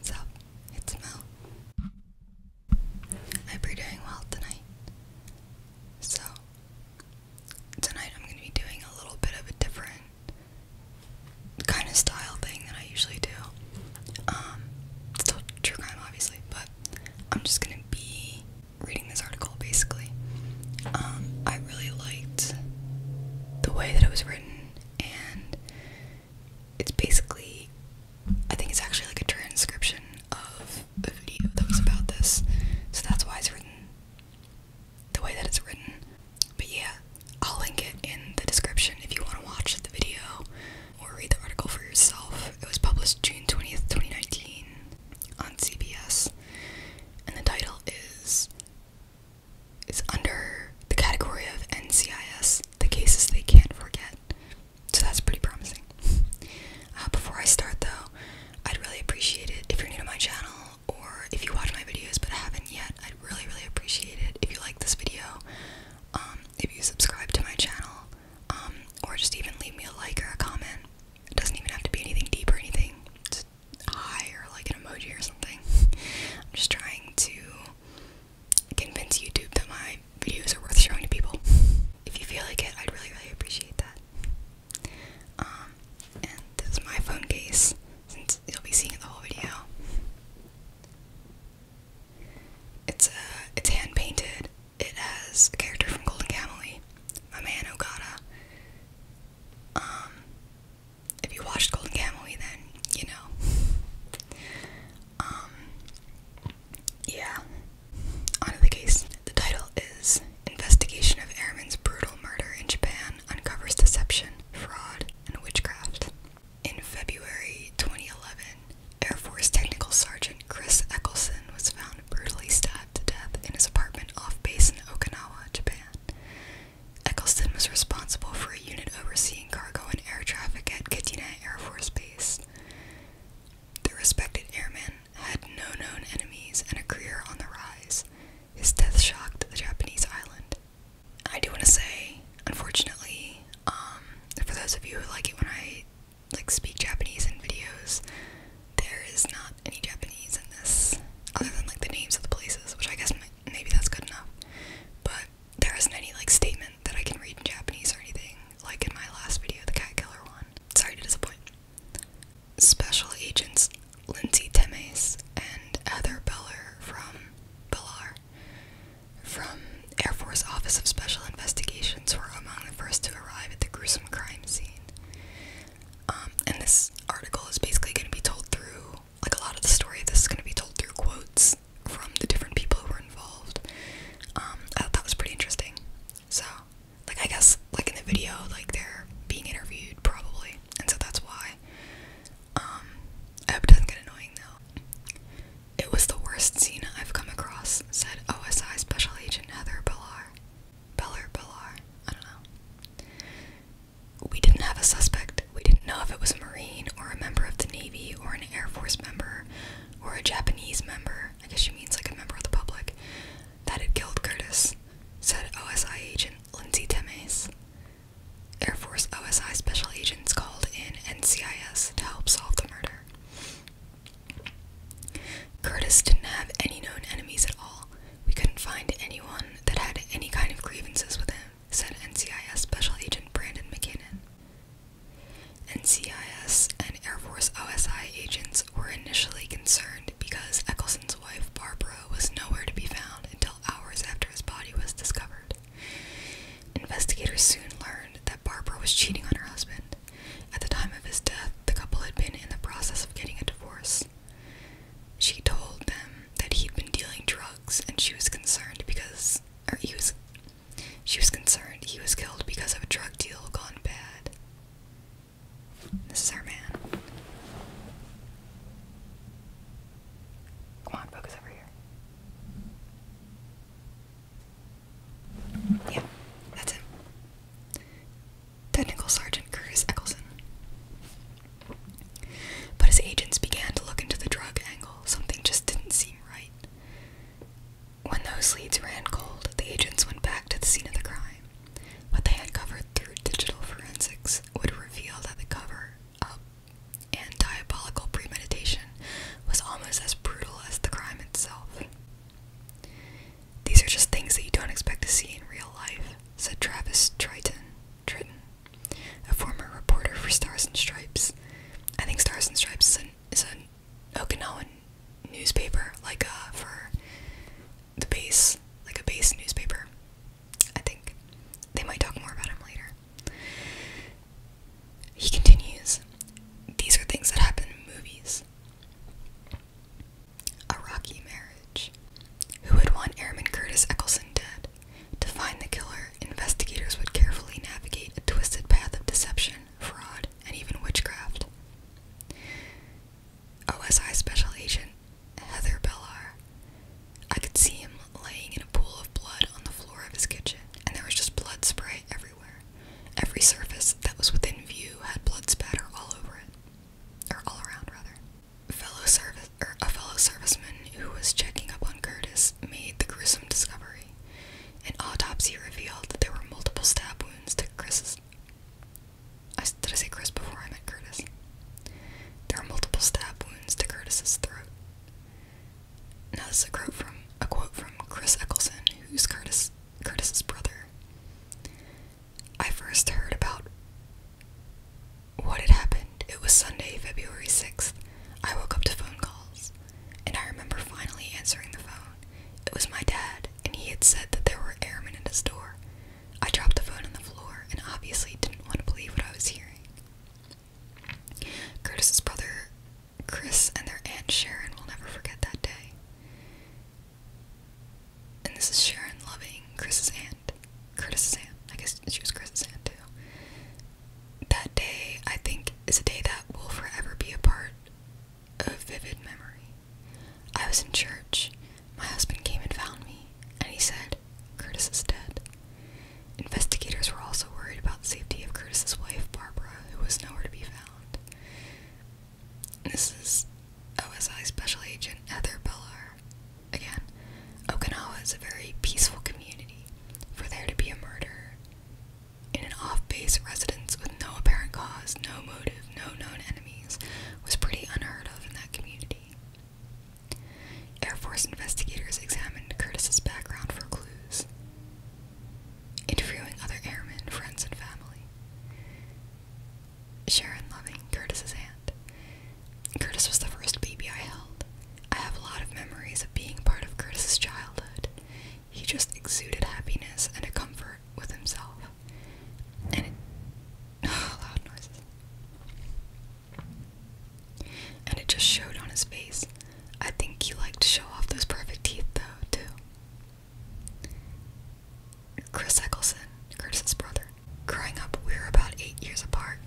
So, it's Mel. I hope doing well tonight. So, tonight I'm going to be doing a little bit of a different kind of style thing that I usually do. Um, still true crime, obviously, but I'm just going to be reading this article basically. Um, I really liked the way that it was written and it's basically I think it's actually like a transcription of a video that was about this, so that's why it's written the way that it's written. But yeah, I'll link it in the description if you want to watch the video or read the article for yourself. It was published June 20th, 2019 on CBS, and the title is it's under the category of NCIS, the cases they can't forget. So that's pretty promising. Uh, before I start, though, I'd really appreciate it if you're new to my channel or if you watch my videos but haven't yet. I'd really, really appreciate it if you like this video, um, if you subscribe to my channel, um, or just even leave me a like or a comment. It doesn't even have to be anything deep or anything hi or like an emoji or something. I'm just trying to convince YouTube that my videos are worth showing to people. If you feel like it, I'd really, really appreciate that. Um, and this is my phone case, since you'll be seeing the whole video. It's uh, it's hand painted. It has a character from Golden Kamuy, my man Ogata. Um, if you watched Golden Kamuy, then you know. Um, yeah. On the case. The title is Investigation of Airman's Brutal Murder in Japan Uncovers Deception, Fraud, and Witchcraft. In February 2011, Air Force Technical Sergeant Chris Eccleson was found brutally stabbed to death in his apartment off base in Okinawa, Japan. Eccleston was responsible for a unit overseeing cargo and air traffic at Katina Air Force Base. The respected airman had no known enemies and a career on the rise. His death shocked the Japanese island. I do want to say, unfortunately, um, for those of you who like it when I like speak Japanese in videos, there is not any Japanese in this, other than like the names of the places, which I guess might, maybe that's good enough. But there isn't any like statement that I can read in Japanese or anything, like in my last video, the cat killer one. Sorry to disappoint. Special agents Lindsay Temes and Heather Beller from Bellar from Air Force Office of Special Investigations were among the first to arrive at the gruesome crime scene. Um, and this article is basically going to be told through like a lot of the story this is going to be told through quotes from the different people who were involved. Um, I thought that was pretty interesting. So, like, I guess, like in the video, like they're being interviewed probably, and so that's why. Um, I hope it doesn't get annoying though. It was the worst scene I've come across, said OSI Special Agent Heather Bellar. Bellar, Bellar, I don't know we didn't have a suspect. We didn't know if it was a Marine or a member of the Navy or an Air Force member or a Japanese member. I guess you mean like a member of the public that had killed Curtis, said OSI agent Lindsay Temes. Air Force OSI special agents called in NCIS to help solve the murder. Curtis didn't have any known enemies at all. We couldn't find anyone that had any kind of grievances with him said NCIS Special Agent Brandon McKinnon. NCIS and Air Force OSI agents were initially concerned because Eccleston's wife, Barbara, was nowhere to be found until hours after his body was discovered. Investigators soon learned that Barbara was cheating on her husband. At the time of his death, the couple had been in the process of getting a divorce. She told them that he'd been dealing drugs and she was concerned because or he was she was concerned he was killed because of a drug deal gone bad. This is our man. Come on, focus over here. Yeah, that's him. Technical Sergeant Curtis Eccleson. But as agents began to look into the drug angle. Something just didn't seem right. When those leads ran cold, the agents went back to the scene of the crime. What they had covered through digital forensics would reveal that the cover up and diabolical premeditation was almost as brutal as the crime itself. These are just things that you don't expect to see in real life, said Travis Triton. Triton a former reporter for Stars and Stripes. I think Stars and Stripes is an, Okinawan newspaper, like uh, for the base, like a base newspaper. I think they might talk more about him later. He continues. These are things that happen in movies. A rocky marriage. Who would want Airman Curtis Eccleston dead? To find the killer, investigators would carefully navigate a twisted path of deception, fraud, and even witchcraft. OSI Special Agent Heather Bellar. I could see him laying in a pool of blood on the floor of his kitchen, and there was just blood spray everywhere. Every surface that was within view had blood spatter all over it, or all around, rather a fellow serviceman who was checking up on Curtis made the gruesome discovery. An autopsy revealed that there were multiple stab wounds to Chris's. did I say Chris before I met Curtis? There are multiple stab wounds to Curtis's throat. Now this is a quote from a quote from Chris Eccleson, who's Curtis Curtis's brother. I first heard about what had happened? It was Sunday, February 6th. I woke up to phone calls, and I remember finally answering the phone. It was my dad, and he had said that there were airmen at his door. I dropped the phone on the floor and obviously didn't want to believe what I was hearing. Curtis's brother Chris and their aunt Sharon will never forget that day. And this is Sharon loving Chris's aunt. Curtis's aunt. I guess she was Chris's aunt too that day, I think, is a day that will forever be a part of vivid memory. I was in church. My husband came and found me, and he said, Curtis is dead. Investigators were also worried about the safety of Curtis's wife, Barbara, who was nowhere to be found. This is OSI Special Agent Heather Bellar. Again, Okinawa is a very peaceful community. For there to be a murder in an off base residence with no apparent cause, no motive, no known enemies was pretty unheard of in that community. Air Force investigators examined Curtis's background for clues, interviewing other airmen, friends, and family. Sharon Loving, Curtis's hand. Curtis was the first baby I held. I have a lot of memories of being part of Curtis's childhood. He just exuded happiness and a comfort with himself. And it loud noises. And it just showed on his face. I think he liked to show off those perfect teeth though, too. Chris Eccleson, Curtis's brother. Growing up, we were about eight years apart.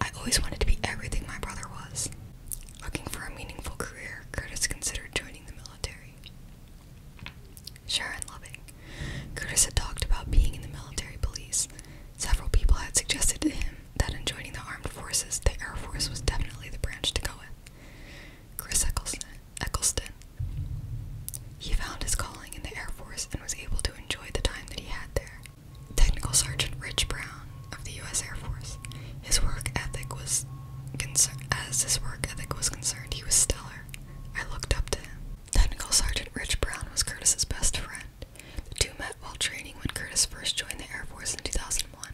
I always wanted to be everything my brother was. Looking for a meaningful career, Curtis considered joining the military. Sharon Loving. Curtis had talked about being in the military police. Several people had suggested to him that in joining the armed forces, the Air Force was definitely the branch to go with. Chris Eccleston. Eccleston. He found his calling in the Air Force and was able to enjoy the time that he had there. Technical Sergeant Rich Brown of the U.S. Air Force. His work ethic was concerned. As his work ethic was concerned, he was stellar. I looked up to him. Technical Sergeant Rich Brown was Curtis's best friend. The two met while training when Curtis first joined the Air Force in 2001.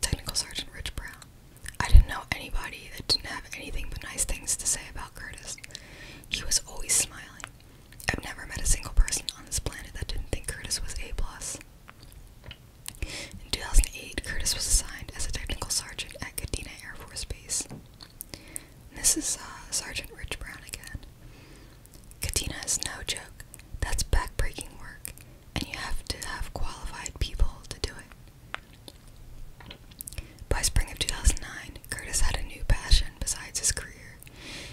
Technical Sergeant Rich Brown. I didn't know anybody that didn't have anything but nice things to say about Curtis. He was always smiling. I've never met a single person on this planet that didn't think Curtis was A+. plus. In 2008, Curtis was assigned as a technical sergeant at Cadina Air Force Base. this is uh, Sergeant Rich Brown again. Cadina is no joke. That's backbreaking work, and you have to have qualified people to do it. By spring of 2009, Curtis had a new passion besides his career.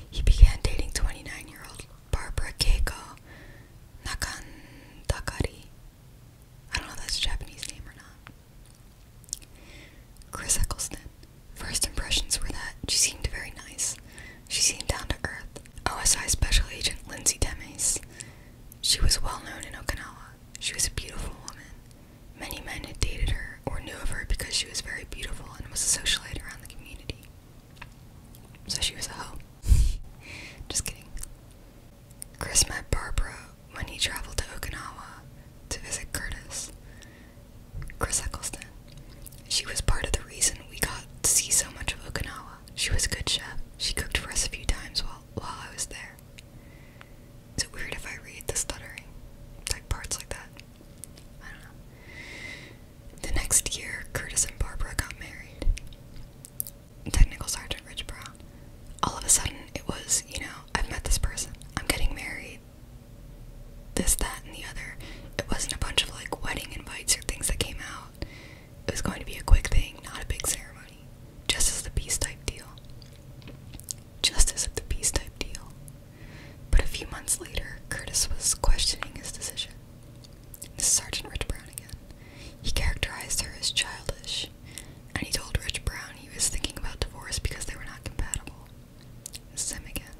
He began dating 29 year old Barbara Keiko Nakantakari. I don't know if that's a Japanese name or not. Chris Eccleston. First impressions were that she seemed very nice. She seemed down to earth. OSI Special Agent Lindsay Demes. She was well known in Okinawa. She was a beautiful woman. Many men had dated her or knew of her because she was very beautiful and was a socialite around the community. So she was a hoe. Just kidding. Chris met Barbara when he traveled to Okinawa to visit Curtis. Chris Eccleston. She was part of the reason we got to see so much of Okinawa. She was a good chef. She cooked for us a few times while while I was there. Is it weird if I read the stuttering? Like parts like that. The next year, Curtis and Barbara got married. Technical Sergeant Rich Brown. All of a sudden, it was, you know, I've met this person, I'm getting married, this, that, and the other. It wasn't a bunch of like wedding invites or things that came out. It was going to be a quick thing, not a big ceremony. just as the Peace type deal. Justice of the Peace type deal. But a few months later, Curtis was questioning his decision. This Sergeant Rich Brown again. He characterized her as childish, and he told Rich Brown he was thinking about divorce because they were not compatible. This is again.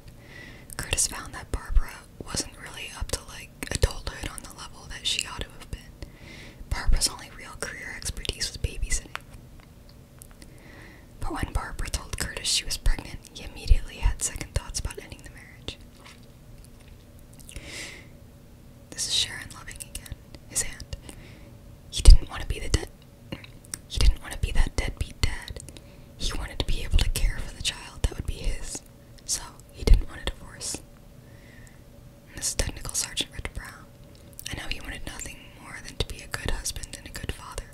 Curtis found that Barbara wasn't really up to like adulthood on the level that she ought to have been. Barbara's only real career expertise was babysitting. But when Barbara told Curtis she was pregnant, he immediately had second thoughts about ending the marriage. This is Sharon Loving again, his hand. He didn't want to be the dead. He didn't want to be that deadbeat dad. He wanted to be able to care for the child that would be his. So he didn't want a divorce. this is Technical Sergeant Rich Brown. I know he wanted nothing more than to be a good husband and a good father.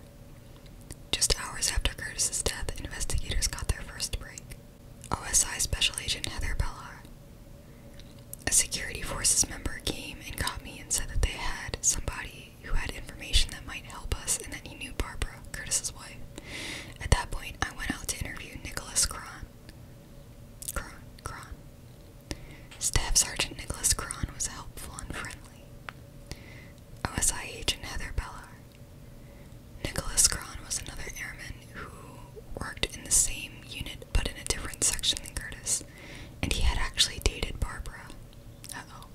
Just hours after Curtis's death, investigators got their first break. OSI Special Agent Heather Bellar. A security forces member came and got me and said that they had somebody who had information that might help us and that he knew Barbara, Curtis's wife. At that point, I went out to interview Nicholas Cron. Cron, Cron. Staff Sergeant Nicholas Cron was helpful and friendly. Farley, OSIH Heather Bellar. Nicholas Cron was another airman who worked in the same unit but in a different section than Curtis, and he had actually dated Barbara. Uh-oh.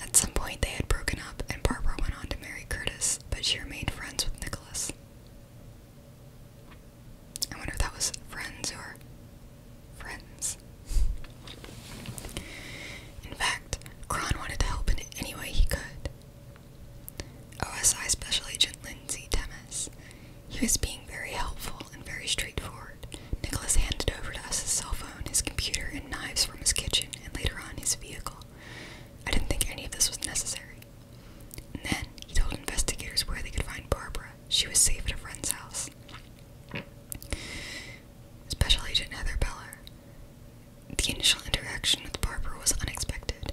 At some point they had broken up and Barbara went on to marry Curtis, but she remained friends with Nicholas. I wonder if that was friends or friends. In fact, Kron wanted to help in any way he could. OSI Special Agent Lindsay Demas. He was being very helpful and very straightforward. Nicholas handed over to us his cell phone, his computer, and knives from his kitchen, and later on his vehicle. I didn't think any of this was necessary. And then he told investigators where they could find Barbara. She was safe at a friend's house. Special Agent Heather Beller. The initial interaction with Barbara was unexpected.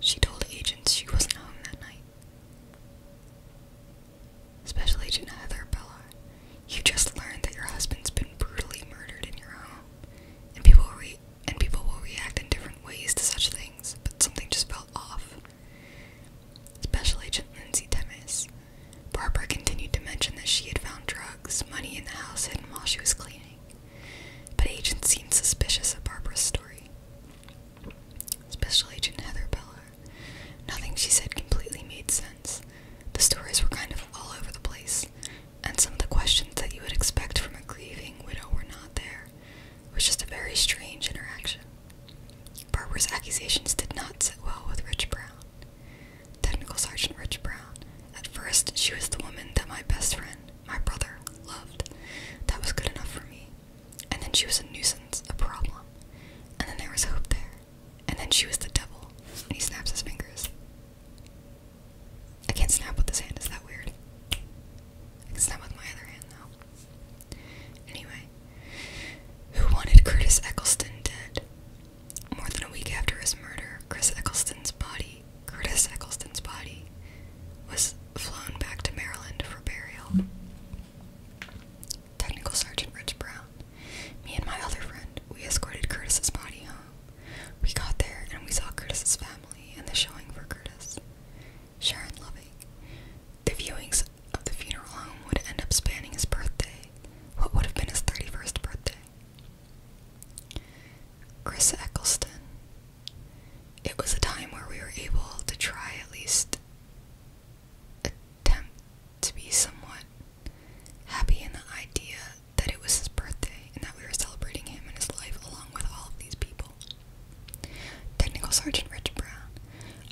She told agents she wasn't home that night. Special Agent Heather Beller, you just learned that your husband's been brutally murdered in your home, and people will and people will react in different ways to such things. But something just felt off. Special Agent Lindsay Temis. Barbara continued to mention that she had found drugs, money in the house hidden while she was cleaning, but agents seemed suspicious of Barbara's story. Special Agent Heather Beller. Nothing she said completely made sense. The stories were kind of all over the place, and some of the questions that you would expect from a grieving widow were not there. It was just a very strange interaction. Barbara's accusations did not sit well with Rich Brown. Technical Sergeant Rich Brown. At first, she was the woman that my best friend, my brother, loved. That was good enough for me. And then she was a nuisance, a problem. And then there was hope there. And then she was the devil. And he snaps his fingers. I can't snap with this hand, is that weird? I can snap with my other hand, though. Anyway, who wanted Curtis Eccleston dead? More than a week after his murder, Chris Eccleston's body, Curtis Eccleston's body, was flown back to Maryland for burial. Technical Sergeant Rich Brown. Me and my other friend, we escorted Curtis's body We got there and we saw Curtis's family and the showing for Curtis. Sharon Loving. The viewings of the funeral home would end up spanning his birthday, what would have been his 31st birthday. Chris Eccleston. It was a time where we were able to try at least attempt to be somewhat happy in the idea that it was his birthday and that we were celebrating him and his life along with all of these people. Technical Sergeant Rich Brown.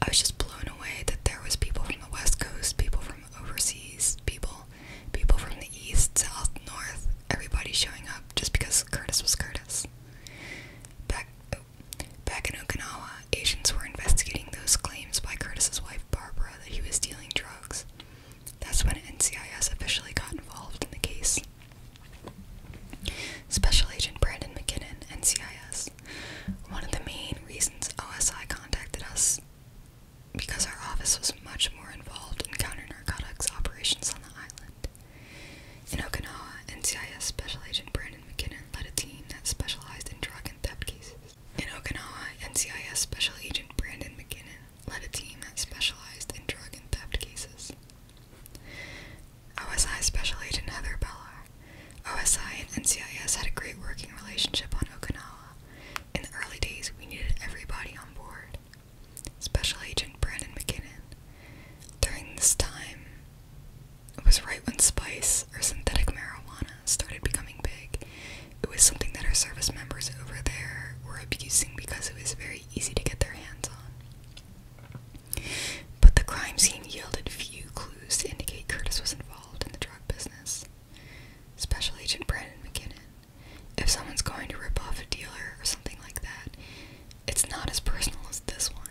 I was just blown away that there was people from the West Coast, people from overseas people, people from the east, south, north, everybody showing up just because Curtis was Curtis. Back, back in Okinawa, agents were investigating those claims by Curtis's wife Barbara that he was dealing drugs. That's when NCIS officially got involved in the case. Special Agent Brandon McKinnon, NCIS. One of the main reasons OSI contacted us because our office was much more involved in counter narcotics operations on the island. In Okinawa, NCIS Special Agent Brandon McKinnon led a team that specialized in drug and theft cases. In Okinawa, NCIS Special Agent Brandon McKinnon led a team that specialized in drug and theft cases. OSI Special Agent Heather Bellar OSI and NCIS had a great working relationship on Okinawa. In the early days, we needed everybody on board. Special Agent Brandon McKinnon. During this time, it was right when spice or synthetic marijuana started becoming big. It was something that our service members over there were abusing because it was very easy to get their hands on. But the crime scene yielded few clues to indicate Curtis was involved in the drug business. Special Agent Brandon McKinnon. If someone's going to rip off a dealer or something like that, it's not as personal as this one.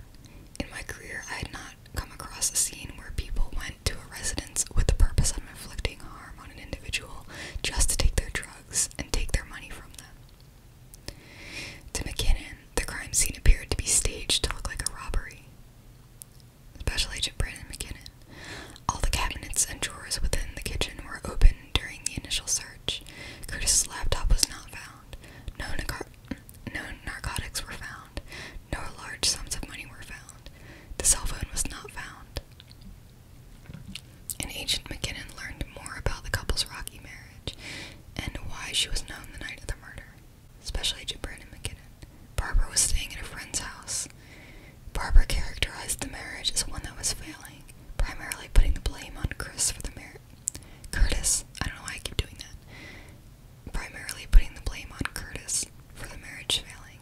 In my career, I had not come across a scene where people went to a residence with the purpose of inflicting harm on an individual just to take their drugs and take their money from them. To McKinnon, the crime scene appeared to be staged to look like a robbery. Special Agent Brandon McKinnon. All the cabinets and drawers within the kitchen were open during the initial search. Curtis's laptop was not found. No, no narcotics were found. No large sums of money were found. The cell phone was not found. And Agent McKinnon learned more about the couple's rocky marriage and why she was known the night of the murder especially Gibran and McKinnon. Barbara was staying at a friend's house. Barbara characterized the marriage as one that was failing, primarily putting the blame on Chris for the marriage. Curtis, I don't know why I keep doing that. Primarily putting the blame on Curtis for the marriage failing.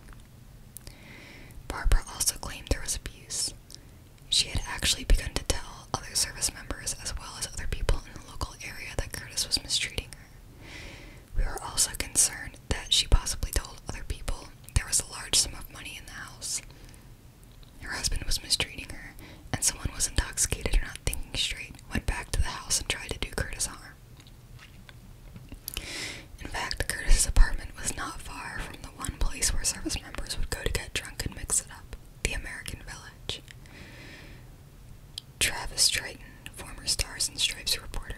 Barbara also claimed there was abuse. She had actually begun to tell other service members as well as other people in the local area that Curtis was mistreating her. We were also concerned that she possibly told other people there was a large sum of money in the house. Her husband was mistreating her, and someone was intoxicated or not thinking straight, went back to the house and tried to do Curtis harm. In fact, Curtis's apartment was not far from the one place where service members would go to get drunk and mix it up the American Village. Travis Triton, former Stars and Stripes reporter.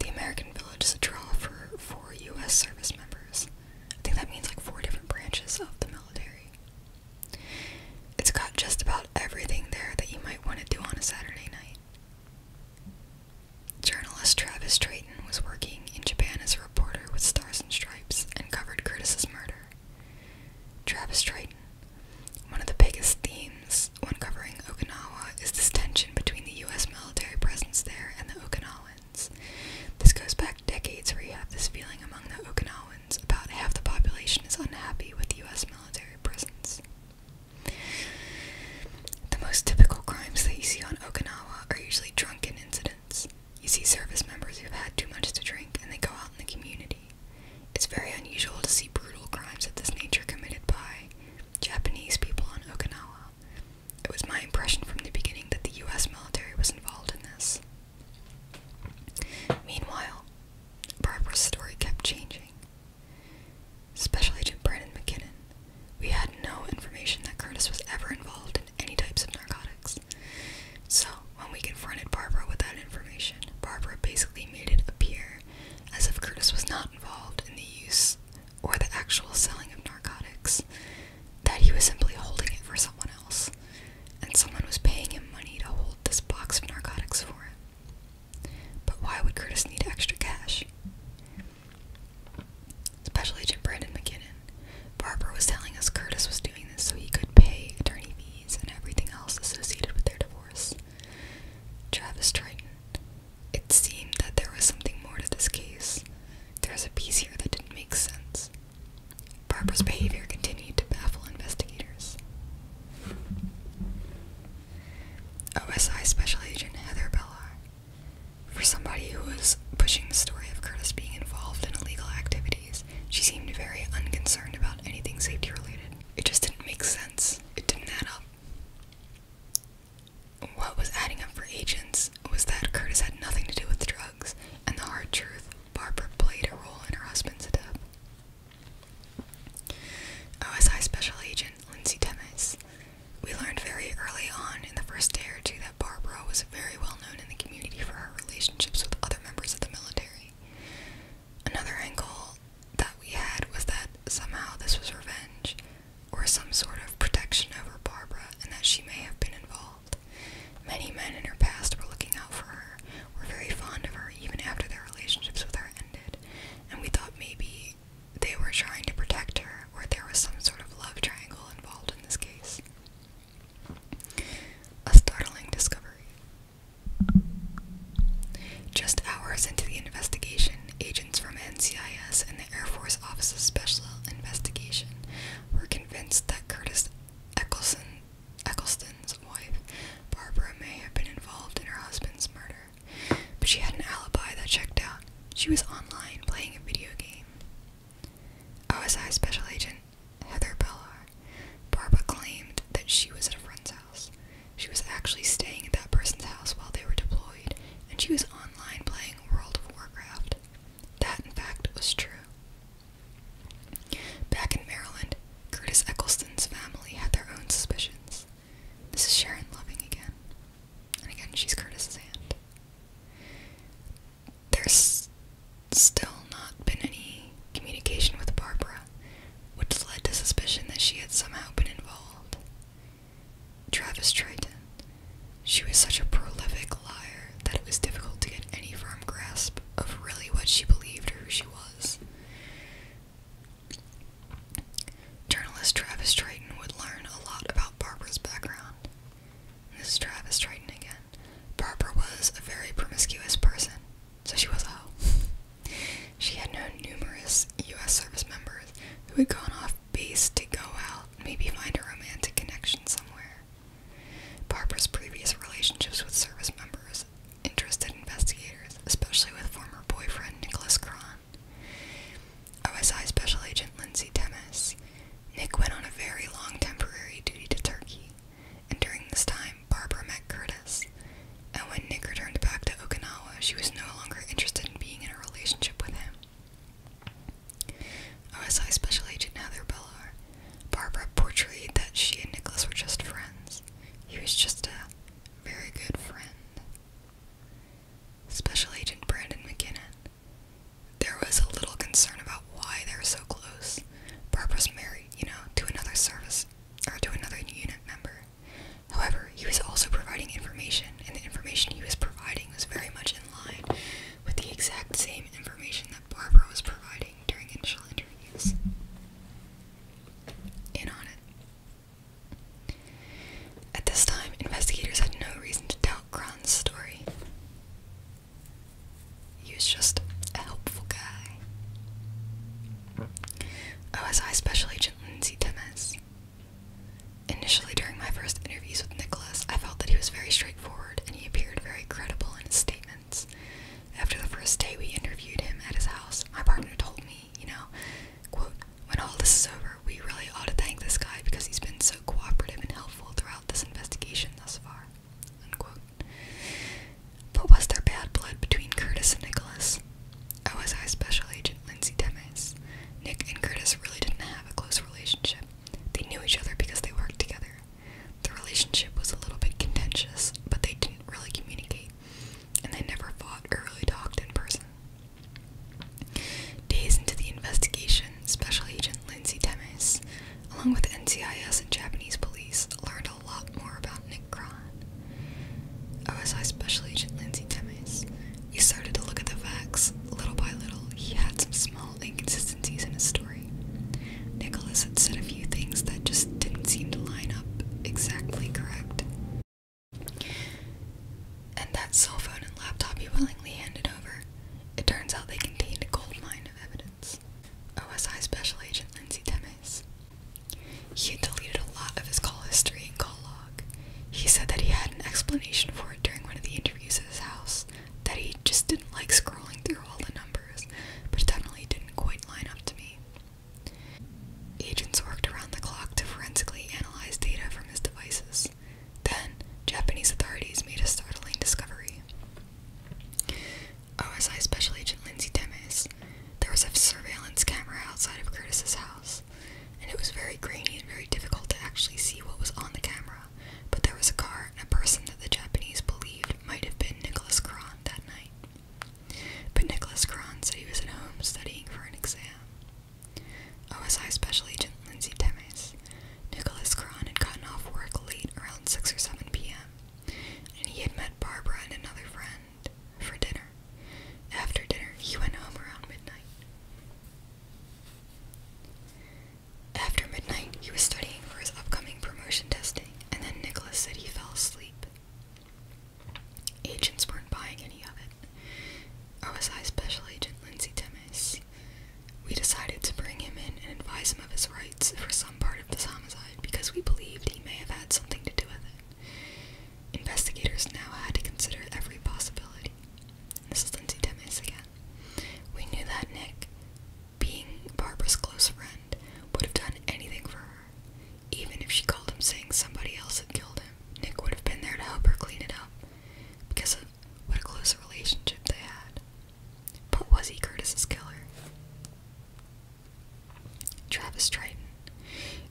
The American Village is a draw for four U.S. service members. I think that means like four different branches of the military. It's got just about everything there that you might want to do on a Saturday night. Journalist Travis Drayton was working in Japan as a reporter with Stars and Stripes and covered Curtis's murder. Travis Drayton, one of the biggest themes one covering Okinawa is this tension between the US military presence there and the Okinawans. This goes back decades where you have this feeling among the Okinawans about half the population is unhappy with the US military presence. The most typical crimes that you see on Okinawa are usually drunken incidents. You see service members who've had too much to drink and they go out in the community. It's very unusual to see brutal crimes of this nature committed by Japanese people on Okinawa. It was my impression from the beginning that the US military was involved in this. Meanwhile, Barbara's story kept changing. Special Agent Brandon McKinnon. We had no information that Curtis was ever involved in any types of narcotics. So, when we confronted Barbara with that information, Barbara basically made it appear as if Curtis was not not involved in the use or the actual selling of narcotics, that he was simply holding it for someone else, and someone was paying him money to hold this box of narcotics for him. But why would Curtis need extra cash? Special Agent Brandon McKinnon. Barbara was telling us Curtis was doing this so he could pay attorney fees and everything else associated with their divorce. Travis Triton. It seemed that there was something more to this case. There was a piece here that didn't make sense. Barbara's mm-hmm. behavior continued to baffle investigators. OSI Special Agent Heather Bellar. For somebody who was pushing the story of Curtis being involved in illegal activities, she seemed very unconcerned about anything safety related. It just didn't make sense. It didn't add up. What was adding up for agents was that Curtis had nothing to do with drugs, and the hard truth Barbara played a role in her husband's death. OSI Special Agent Lindsay Temes. We learned very early on in the first day or two that Barbara was very well known in the community for her relationships with other members of the military. Another angle that we had was that somehow this was revenge or some sort of protection over Barbara and that she may have been involved. Many men in her past were looking out for her, were very fond of her even after their relationships with her ended, and we thought maybe they were trying to protect her or there was some sort of love triangle involved in this case. A startling discovery. Just hours into the investigation, agents from NCIS and the Air Force Office of Special Investigation were convinced that Curtis Eccleston, Eccleston's wife, Barbara, may have been involved in her husband's murder. But she had an alibi that checked out. She was online playing a video game. OSI Special Agent Heather Bellar. Barbara claimed that she was at a friend's house. She was actually staying at that person's house while they were deployed, and she was online playing World of Warcraft. That, in fact, was true. Back in Maryland, Curtis Eccleston's family had their own suspicions. This is Sharon Loving again. And again, she's Curtis's aunt. There's still not been any communication with Barbara, which led to suspicion that she had somehow been involved. Travis Triton. She was such a prolific liar that it was difficult to get any firm grasp of really what she believed or who she was. Journalist Travis Triton would learn a lot about Barbara's background. This is Travis Triton again. Barbara was a very promiscuous person, so she was a oh. hoe. She had known numerous U.S. service members who had gone off base to go out, maybe find a romantic connection somewhere. Barbara's previous relationships with service members interested investigators, especially with former boyfriend Nicholas Cron. OSI Special Agent Lindsay Temes. Nick went on a very long temporary duty to Turkey, and during this time, Barbara met Curtis, and when Nick returned back to Okinawa, she was no longer interested in being in a relationship with him. OSI Special Agent Heather Bellar. Barbara portrayed that she and Nicholas were just friends. He was just a very good friend. Special Agent Brandon McKinnon. There was a little concern about why they were so close. Barbara was married, you know, to another service or to another unit member. However, he was also providing information, and the information he was providing was very much in line with the exact same information that Barbara was providing during initial interviews. In on it. At this time, investigators had no reason to doubt Kron's story. He was just a helpful guy. OSI Special Agent Lindsay Temes Initially, during my first interviews with Nicholas, I felt that he was very straightforward and he appeared very credible in his statements. After the first day we interviewed him at his house, my partner told me, you know, quote, when all this is over, we really ought to thank this guy because he's been so cooperative and helpful throughout this investigation thus far, unquote. But was there bad blood between Curtis and Nicholas? OSI Special Agent Lindsay Demes. Nick and Curtis really didn't have a close relationship. They knew each other because they worked together. The relationship was a little bit contentious, but they didn't really communicate, and they never fought or really talked in person. Days into the investigation, Special Agent Lindsay Demes, along with NCIS and Japanese police, learned a lot more about Nick Cron. OSI Special Agent Lindsay Temes. We started to look at the facts. Little by little, he had some small inconsistencies in his story. Nicholas had said a few things that just didn't seem to line up exactly correct. And that cell phone and laptop he willingly handed over, it turns out they contained a gold mine of evidence. OSI Special Agent Lindsay Temes. He deleted a lot of his call history and call log. He said that he had an explanation for it during one of the interviews at his house, that he just didn't like scrolling through all the numbers, but it definitely didn't quite line up to me. Agents worked around the clock to forensically analyze data from his devices. Then, Japanese authorities made a startling discovery. OSI Special Agent Lindsay Demes. There was a surveillance camera outside of Curtis's house. And it was very grainy and very difficult to actually see what was on the camera. But there was a car and a person that the Japanese believed might have been Nicholas Cron that night. But Nicholas Cron said he was at home studying for an exam. OSI Special Agent Lindsay Demes, Nicholas Cron had gotten off work late around 6 or 7 p.m., and he had met Barbara and another friend for dinner. After dinner, he went home around midnight. After midnight, he was studying for his upcoming promotion testing, and then Nicholas said he fell asleep. Agents weren't buying any of it. OSI Special Agent Lindsay Temes. We decided to bring him in and advise him of his rights for some part of this homicide because we believed he may have had something to do with it. Investigators now had to consider every possibility. This is Lindsay Demis again. We knew that Nick, being Barbara's close friend, would have done anything for her. Even if she called him saying somebody else had killed him, Nick would have been there to help her clean it up because of what a close relationship they had. But was he Curtis's killer? Travis Triton.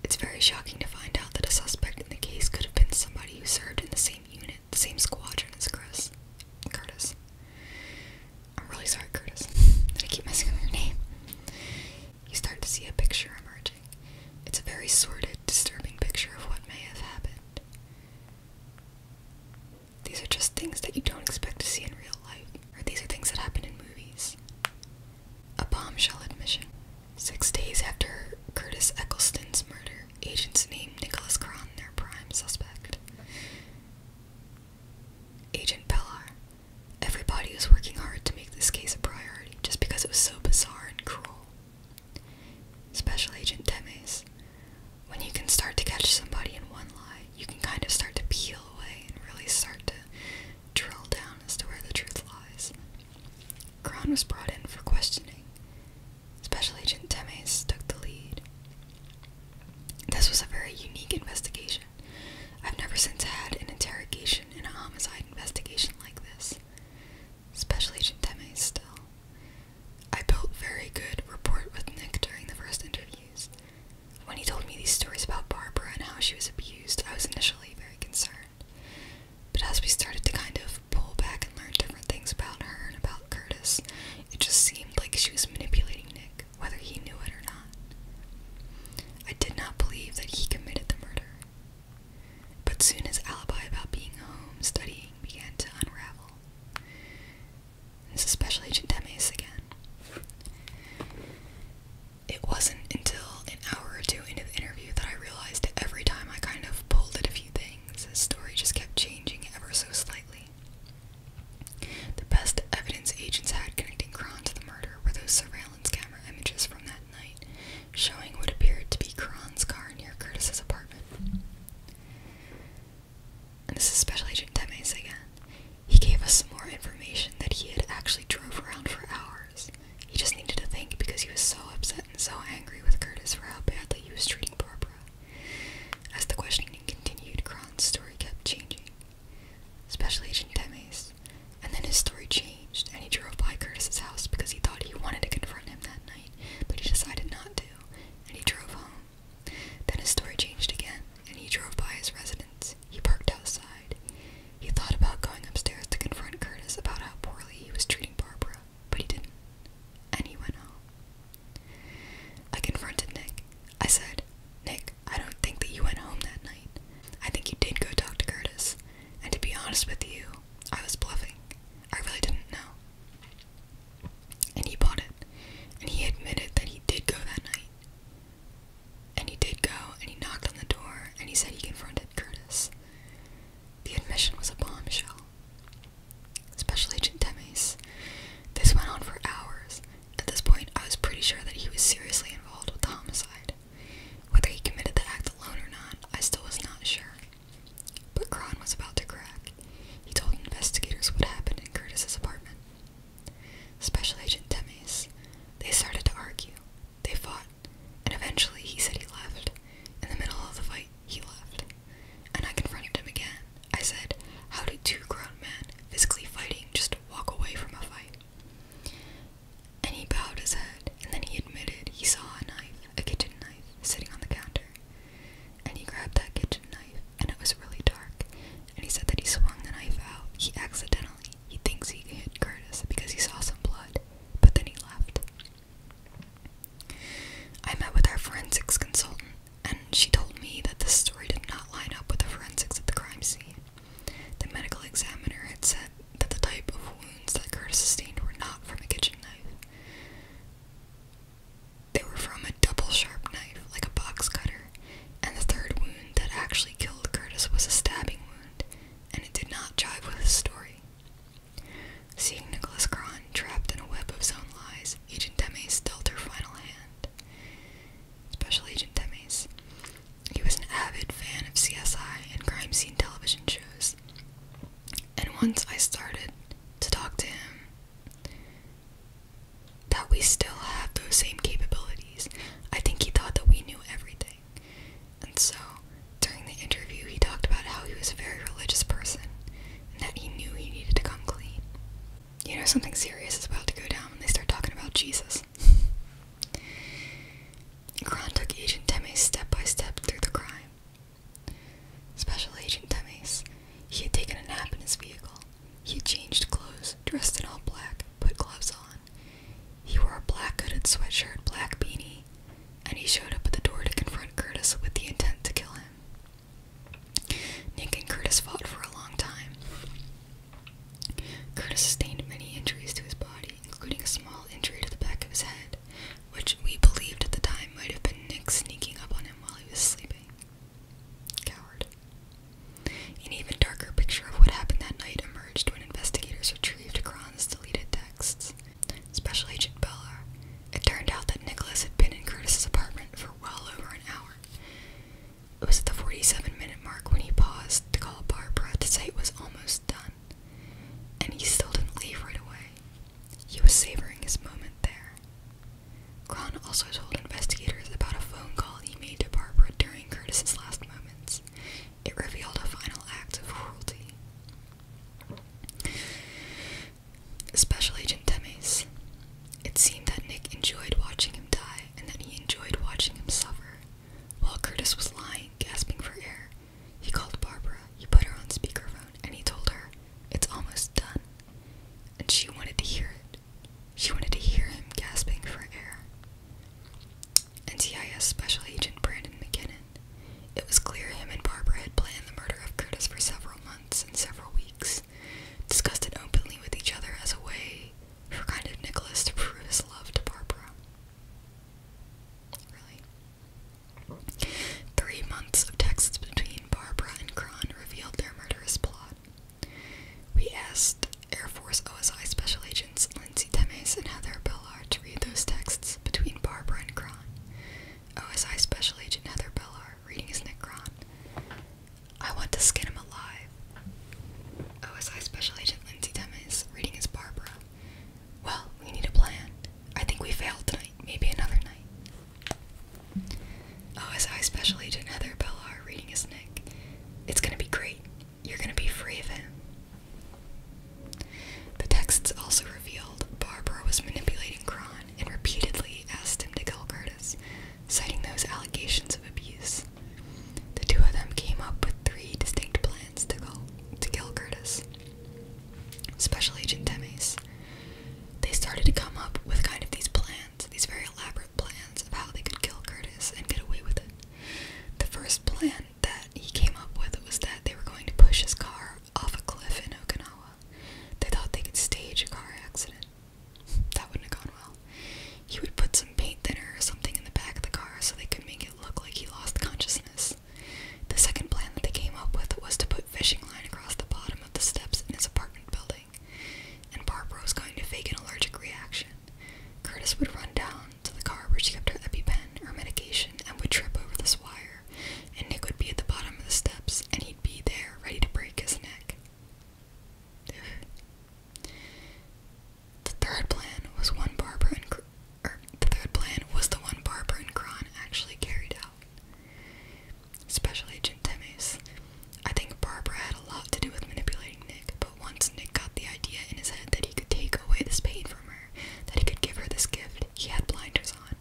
It's very shocking to find out that a suspect in the case could have been somebody who served in the same unit, the same squadron as Chris. Curtis. I'm really sorry, Curtis, that I keep messing up your name. You start to see a picture emerging. It's a very sordid, disturbing picture of what may have happened. These are just things that you don't expect to see in real life, or these are things that happen in movies. A bombshell admission. Six days after Curtis Eccleston's murder, agents named Nicholas Cron their prime suspect. Agent Pellar. Everybody was working hard to make this case a priority just because it was so bizarre and cruel. Special Agent Demes. When you can start to catch somebody in one lie, you can kind of start to peel away and really start to drill down as to where the truth lies. Kron was brought in for questioning. Special Agent Temes took the lead. This was a very unique investigation. I've never since had an interrogation in a homicide investigation like this. Special Agent Temes still. I built very good rapport with Nick during the first interviews. When he told me these stories about Barbara and how she was abused, I was initially very concerned. But as we started to kind of pull back and learn different things about her and about Curtis, it just seemed like she was manipulating Nick, whether he knew it or not. I did not believe that he committed the murder. But soon his alibi about being home studying began to unravel. This is Special Agent Demes again it wasn't until an hour or two into the interview that I realized that every time I kind of pulled at a few things, the story just kept changing ever so slightly. The best evidence agents had connecting Kron to the murder were those surveillance camera images from that night, showing what appeared to be Kron's car near Curtis's apartment. And this is Special Agent Temes again. He gave us some more information that he had actually drove around for hours, he just needed to think because he was so upset and so angry with Curtis for how badly he was treating Barbara. As the questioning continued, Kron's story kept changing. especially Agent Demes. And then his story changed, and he drove by Curtis's house because he thought he wanted to confront him that night, but he decided not to, and he drove home. Then his story changed again, and he drove by his residence. He parked outside. He thought about going upstairs to confront Curtis about how poorly he was treating Barbara, but he didn't. And he went home. I confronted Nick. I said, Nick, I don't think that you went home that night. I think you did go talk to Curtis. And to be honest with you, I was bluffing. I really didn't know. And he bought it. And he admitted that he did go that night. And he did go, and he knocked on the door, and he said he confronted Curtis. The admission was a bombshell. Special Agent Demes. This went on for hours. At this point, I was pretty sure that he was seriously involved with the homicide. Whether he committed the act alone or not, I still was not sure. But Cron was about to crack. He told investigators what happened in Curtis's apartment. Special Agent Demes. They started to argue, they fought, and eventually he said he left. In the middle of the fight, he left. And I confronted him again. I said, How do two grown men, physically fighting, just walk away from a fight? And he bowed his head, and then he admitted he saw a knife, a kitchen knife, sitting on the counter. And he grabbed that kitchen knife, and it was really dark. And he said that he swung the knife out. He accidentally, he thinks he hit Curtis because he saw some blood, but then he left. I met with our forensics consultant, and she told me that the story did not line up with the forensics at the crime scene. The medical examiner had said that the type of wounds that Curtis sustained were not from a kitchen knife. They were from a double sharp knife, like a box cutter, and the third wound that actually killed Curtis was a stabbing wound, and it did not jive with his story. Seeing Nicholas Cron trapped in a web of his own lies, Agent Demes dealt her final hand. Special Agent Demes. He was an avid fan of CSI and crime scene television shows. And once I started to talk to him, that we still have those same capabilities. I think he thought that we knew everything. And so during the interview, he talked about how he was a very religious person and that he knew he needed to come clean. You know, something serious is about to go down when they start talking about Jesus. Kron took Agent Temes step by step through the crime. Special Agent Temes, he had taken a nap in his vehicle. He had changed clothes, dressed in all black, put gloves on. He wore a black hooded sweatshirt, black beanie, and he showed up at the door to confront Curtis with the intent to kill him. Nick and Curtis fought for a long time. Curtis sustained many injuries to his body, including a small injury to the back of his head, which we believed at the time might have been Nick sneaking up on him while he was sleeping. Coward. An even darker picture of what happened that night emerged when investigators retrieved Kron's deleted texts. Special Agent Bella. It turned out that Nicholas had been in Curtis's apartment for well over an hour. It was at the 47 minute mark when he paused to call Barbara to say it was almost done. And he still didn't leave right away. He was savoring his moment there. Cron also told investigators about a phone call he made to Barbara during Curtis's last moments. It revealed a final act of cruelty. Special Agent Temes. It seemed that Nick enjoyed watching him die and that he enjoyed watching him suffer. While Curtis was lying, gasping for air, he called Barbara, he put her on speakerphone, and he told her, It's almost done. And she wanted to hear it. She wanted to hear him gasping for air. NCIS Special Agent Brandon McKinnon. It was clear him and Barbara had planned the murder of Curtis for several months and several weeks, discussed it openly with each other as a way for kind of Nicholas to prove his love to Barbara. Really? Three months of texts between Barbara and Cron revealed their murderous plot. We asked Air Force OSI Special Agent Lindsay Temes and Heather Bellar to read those texts between Barbara and Cron. OSI Special Agent Heather Bellar reading his Nick Cron. I want to skin him alive. OSI Special Agent Lindsay Temes reading his Barbara. Well, we need a plan. I think we failed tonight. Maybe another night. OSI Special Agent Heather Bellar reading his Nick. It's gonna be great. You're gonna be free of him. The texts also revealed Barbara was manipulating Cron and repeatedly asked him to kill Curtis, citing those allegations of abuse. The two of them came up with three distinct plans to kill, Curtis. Special Agent Temes. They started to come up with kind of these plans, these very elaborate plans of how they could kill Curtis and get away with it. The first plan that he came up with was that they were going to push his car off a cliff in Okinawa. They thought they could stage a car accident. That wouldn't have gone well. He would put some paint thinner or something in the back of the car so they could make it look like he lost consciousness. The second plan that they came up with was to put fishing line across the bottom of the steps in his apartment building, and Barbara was going to fake an allergic reaction. Curtis would run down to the car where she kept her EpiPen or medication and would trip over this wire, and Nick would be at the bottom of the steps and he'd be there ready to break his neck. The third plan was one Barbara and er, the third plan was the one Barbara and Kron actually carried out. Special Agent Temes. I think Barbara had a lot to do with manipulating Nick, but once Nick got the idea in his head that he could take away this pain from her, that he could give her this gift. He had blinders on.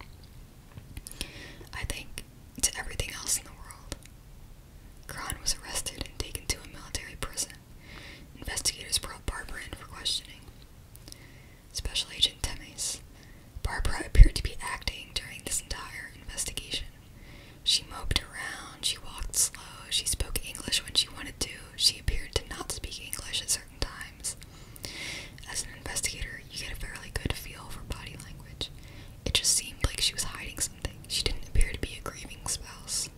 I think to everything else in the world. Kron was arrested and taken to a military prison. Investigators brought Barbara in for questioning. Special Agent Temes. Barbara appeared to be acting during this entire investigation. She moped around, she walked slow, she spoke English when she wanted to, she appeared to not speak English at certain times. As an investigator, you get a fairly good feel for body language. It just seemed like she was hiding something. She didn't appear to be a grieving spouse.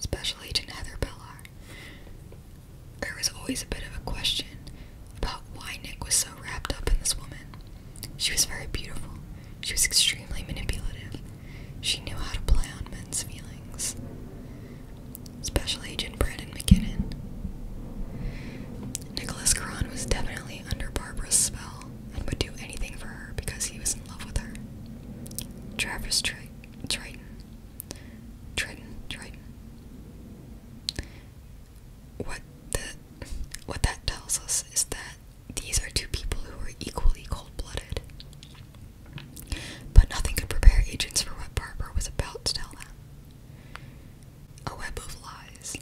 Special Agent Heather Bellar. There was always a bit of a question about why Nick was so wrapped up in this woman. She was very beautiful. She was extremely manipulative. She knew how to play on men's feelings. Special Agent Brendan McKinnon. Nicholas Caron was definitely under Barbara's spell and would do anything for her because he was in love with her. Travis Tri Triton. Triton, Triton. What the what that tells us is that these are two people who are equally cold blooded. But nothing could prepare agents for what Barbara was about to tell them. A web of lies.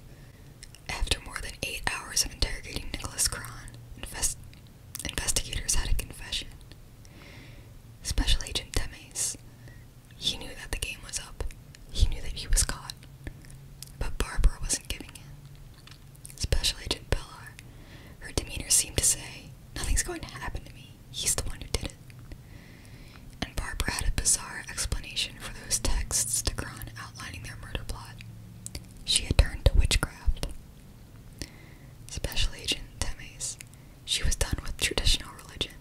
After more than eight hours of interrogating Nicholas Cron, investigators had a confession. Special Agent Demes. He knew that the game was up. He knew that he was caught. But Barbara wasn't giving in. Special Agent Bellar. Her demeanor seemed to say, Nothing's going to happen to me. He's the one who did it. And Barbara had a bizarre explanation for those texts to Gron outlining their murder plot. She had turned to witchcraft. Special Agent Temes. She was done with traditional religion.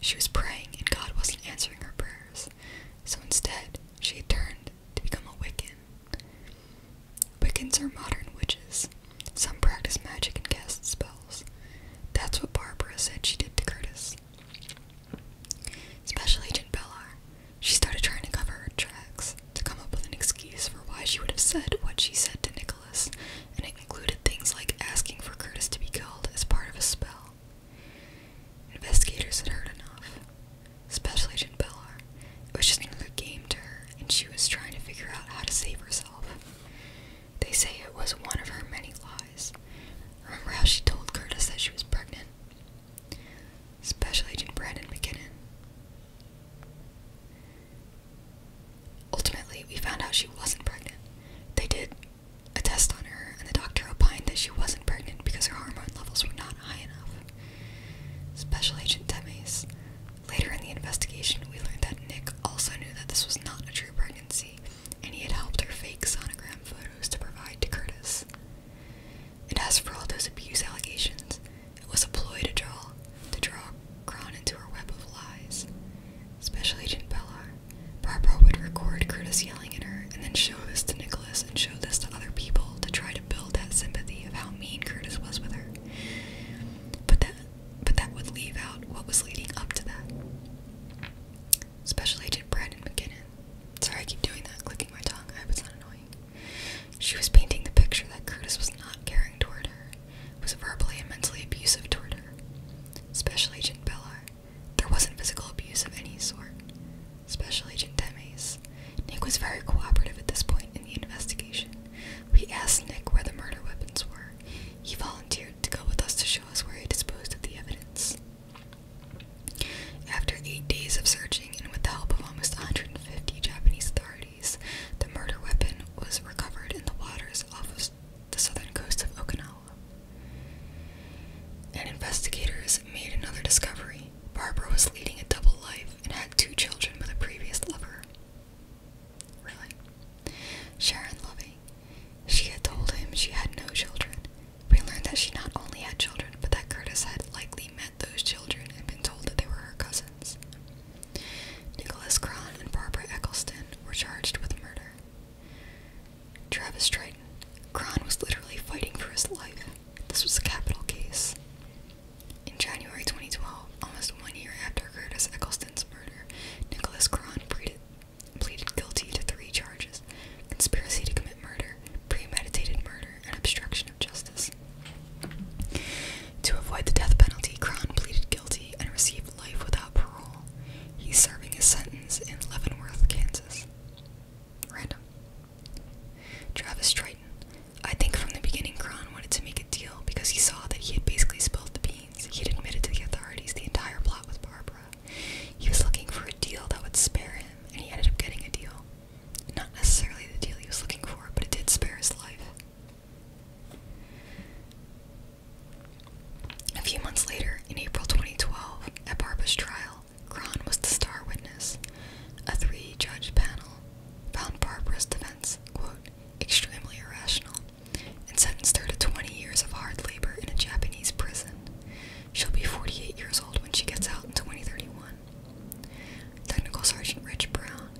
She was praying and God wasn't answering her prayers. So instead, she had turned to become a Wiccan. Wiccans are modern witches. Some practice magic and cast spells. That's what Barbara said she did to Curtis. Special Agent Bellar. She started trying to cover her tracks, to come up with an excuse for why she would have said what she said to Nicholas, and it included things like asking for Curtis to be killed as part of a spell. Investigators had heard enough. Special Agent Bellar. It was just another game to her, and she was trying to figure out how to save herself. They say it was one of her many lies. Remember how she told Curtis that she was pregnant? Special Agent Brandon McKinnon. Ultimately, we found out she wasn't pregnant. They did a test on her, and the doctor opined that she wasn't pregnant because her hormone levels were not high enough. Special Agent Temes, Later in the investigation, we learned that Nick also knew that this was not a true pregnancy, and he had helped her fake sonogram photos to provide to Curtis. And as for all those abuse allegations, it was a ploy to draw to draw Kron into her web of lies. Special Agent Bellar, Barbara would record Curtis yelling at her and then show this to Nicholas and show this to other people to try to build that sympathy of how mean Curtis was with her. But that but that would leave out what was leading up to that. Special Agent Brandon McKinnon. Sorry, I keep doing that, clicking my tongue. I hope it's not annoying. She was painting the picture that Curtis was not caring toward her, was verbally and mentally abusive toward her. Special Agent Bellar. There wasn't physical abuse of any sort. Special Agent Demes. Nick was very cooperative at this point in the investigation. We asked Nick where the murder weapons were. He volunteered to go with us to show us where he disposed of the evidence. After eight days of searching and with the help of almost 150 Japanese authorities, the murder weapon was recovered in the waters off the southern coast of Okinawa. And investigators made another discovery. Barbara was leading a double life and had two children with a previous lover. Really? Sharon Loving. She had told him she had no children. We learned that she not only had children, but that Curtis had likely met those children and been told that they were her cousins. Nicholas Kron and Barbara Eccleston were charged with murder. Travis Triton. Kron was literally fighting for his life. This was a capital case. In January 2012, almost one year after Curtis Eccleston's murder, Nicholas Cron pleaded, guilty to three charges conspiracy to commit murder, premeditated murder, and obstruction of justice. To avoid the death penalty, Cron pleaded guilty and received life without parole. He's serving his sentence in Leavenworth, Kansas. Random. Travis Triton, I think from the beginning, Kron wanted to make a deal because he saw that he had basically spilled the beans. He had admitted to the authorities the entire plot with Barbara. He was looking for a deal that would spare him, and he ended up getting a deal. Not necessarily the deal he was looking for, but it did spare his life. A few months later, in April 2012, at Barbara's trial, Kron was the star witness. A three judge panel found Barbara's defense, quote, extremely irrational, and sentenced her to 20 years of hard labor in a Japanese prison. She'll be 48 years old when she gets out in 2031. Technical Sergeant Rich Brown,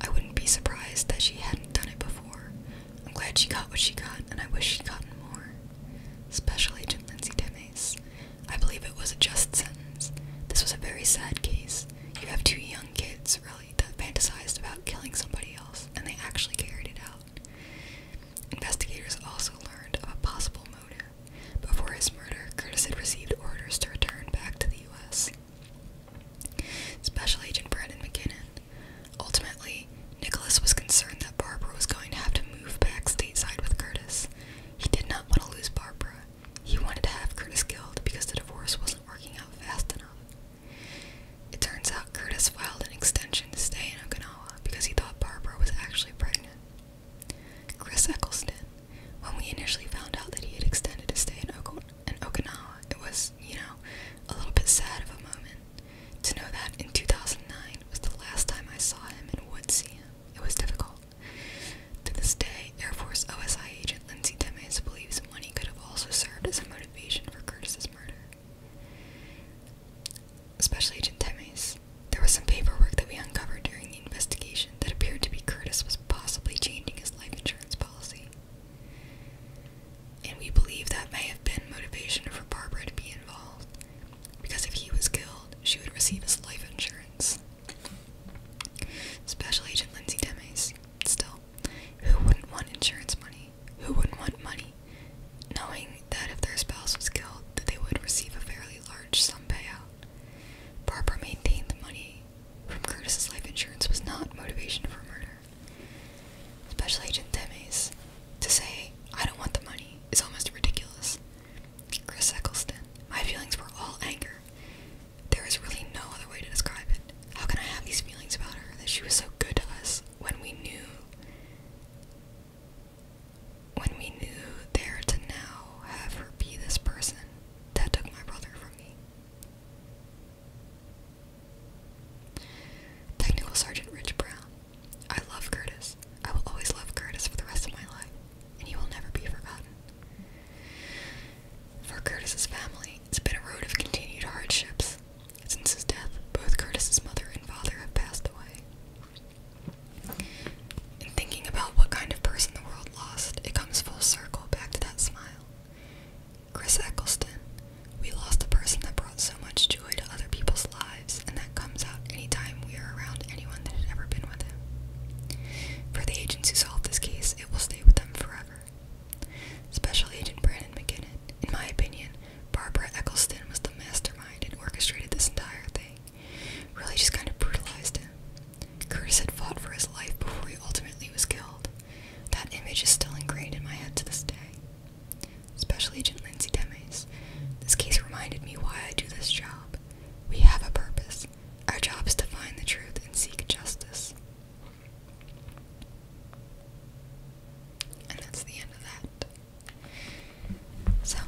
I wouldn't be surprised that she hadn't done it before. I'm glad she got what she got, and I wish she'd gotten more. Special Agent Lindsay Demes, I believe it was a just sentence. This was a very sad case. You have two young kids that fantasized about killing somebody else, and they actually carried it out. Investigators also learned of a possible motive. Before his murder, Curtis had received orders to return back to the U.S. Special Agent Brandon McKinnon. Ultimately, Nicholas was concerned that Barbara was going to have to move back stateside with Curtis. He did not want to lose Barbara. He wanted to have Curtis killed because the divorce wasn't working out fast enough. It turns out Curtis filed an extension to stay in Okinawa because he thought Barbara was actually pregnant. Chris Eccleston, when we initially found out that he had extended his stay in, ok in Okinawa, it was, you know, a little bit sad of a moment. To know that in 2009 was the last time I saw him and would see him, it was difficult. To this day, Air Force OSI agent Lindsay Demes believes money could have also served as a motivation for Curtis's murder. Special Agent Temes. There was some paperwork that we uncovered during the investigation that appeared to be Curtis was possibly changing his life insurance policy. And we believe that may have been motivation for Barbara to be involved, because if he was killed, she would receive his life insurance. Special Agent Lindsay Demes. Still, who wouldn't want insurance money? Who wouldn't want money? Knowing that if their spouse was killed, that they would receive a fairly large sum payout. Barbara maintained the money from Curtis's life insurance was not motivation for murder. Special Agent Demes, to say, I don't want the money, is almost ridiculous. Chris Eccleston, my feelings were all anger. There is really no other way to describe it. How can I have these feelings about her that she was so good to us when we knew when we knew there to now have her be this person that took my brother from me? Technical Sergeant Rich Brown. I love Curtis. I will always love Curtis for the rest of my life, and he will never be forgotten. For Curtis's family, it's been a road of continued hardships. Since his death, both Curtis's mother and father have passed away. In thinking about what kind of person the world lost, it comes full circle back to that smile. Chris Eccleston, we lost a person that brought so much joy to other people's lives, and that comes out anytime we are around anyone that had ever been with him. For the agents who solved this case, it will stay with them forever. Special Agent Brandon McKinnon. In my opinion, Barbara Eccleston was the mastermind and orchestrated this entire thing. Really just kind of brutalized him. Curtis had fought for his life before he ultimately was killed. That image is still ingrained in my head to this day. Special Agent Lindsay Demes. This case reminded me why I do this job. We have a purpose. Our job is to find the truth and seek justice. And that's the end of that. So,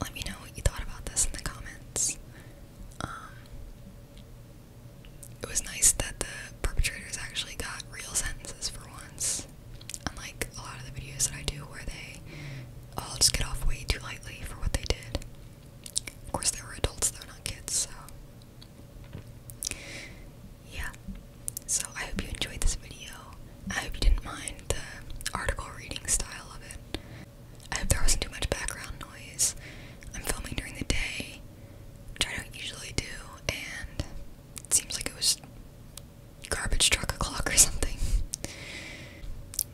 let me know what you thought about this in the comments. Um, it was nice that the perpetrators actually got real sentences for once. Unlike a lot of the videos that I do where they all just get off way too lightly for what they did. Of course, they were adults, though, not kids, so yeah, so I hope you enjoyed this video. I hope you didn't mind the article reading style of it. I hope there wasn't too much background noise. I'm filming during the day, which I don't usually do, and it seems like it was garbage truck o'clock or something.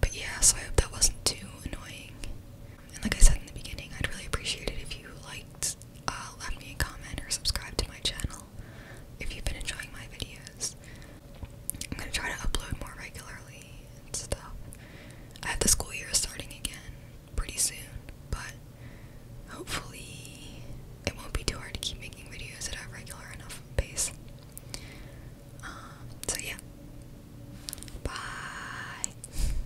But yeah, so I hope that wasn't too annoying and like I said in the beginning, I'd really appreciate it if you liked, uh, left me a comment or subscribe to my channel if you've been enjoying my videos. I'm gonna try to upload more regularly and stuff. I have the school year starting again pretty soon, but hopefully it won't be too hard to keep making videos at a regular enough pace. Um, so yeah. Bye.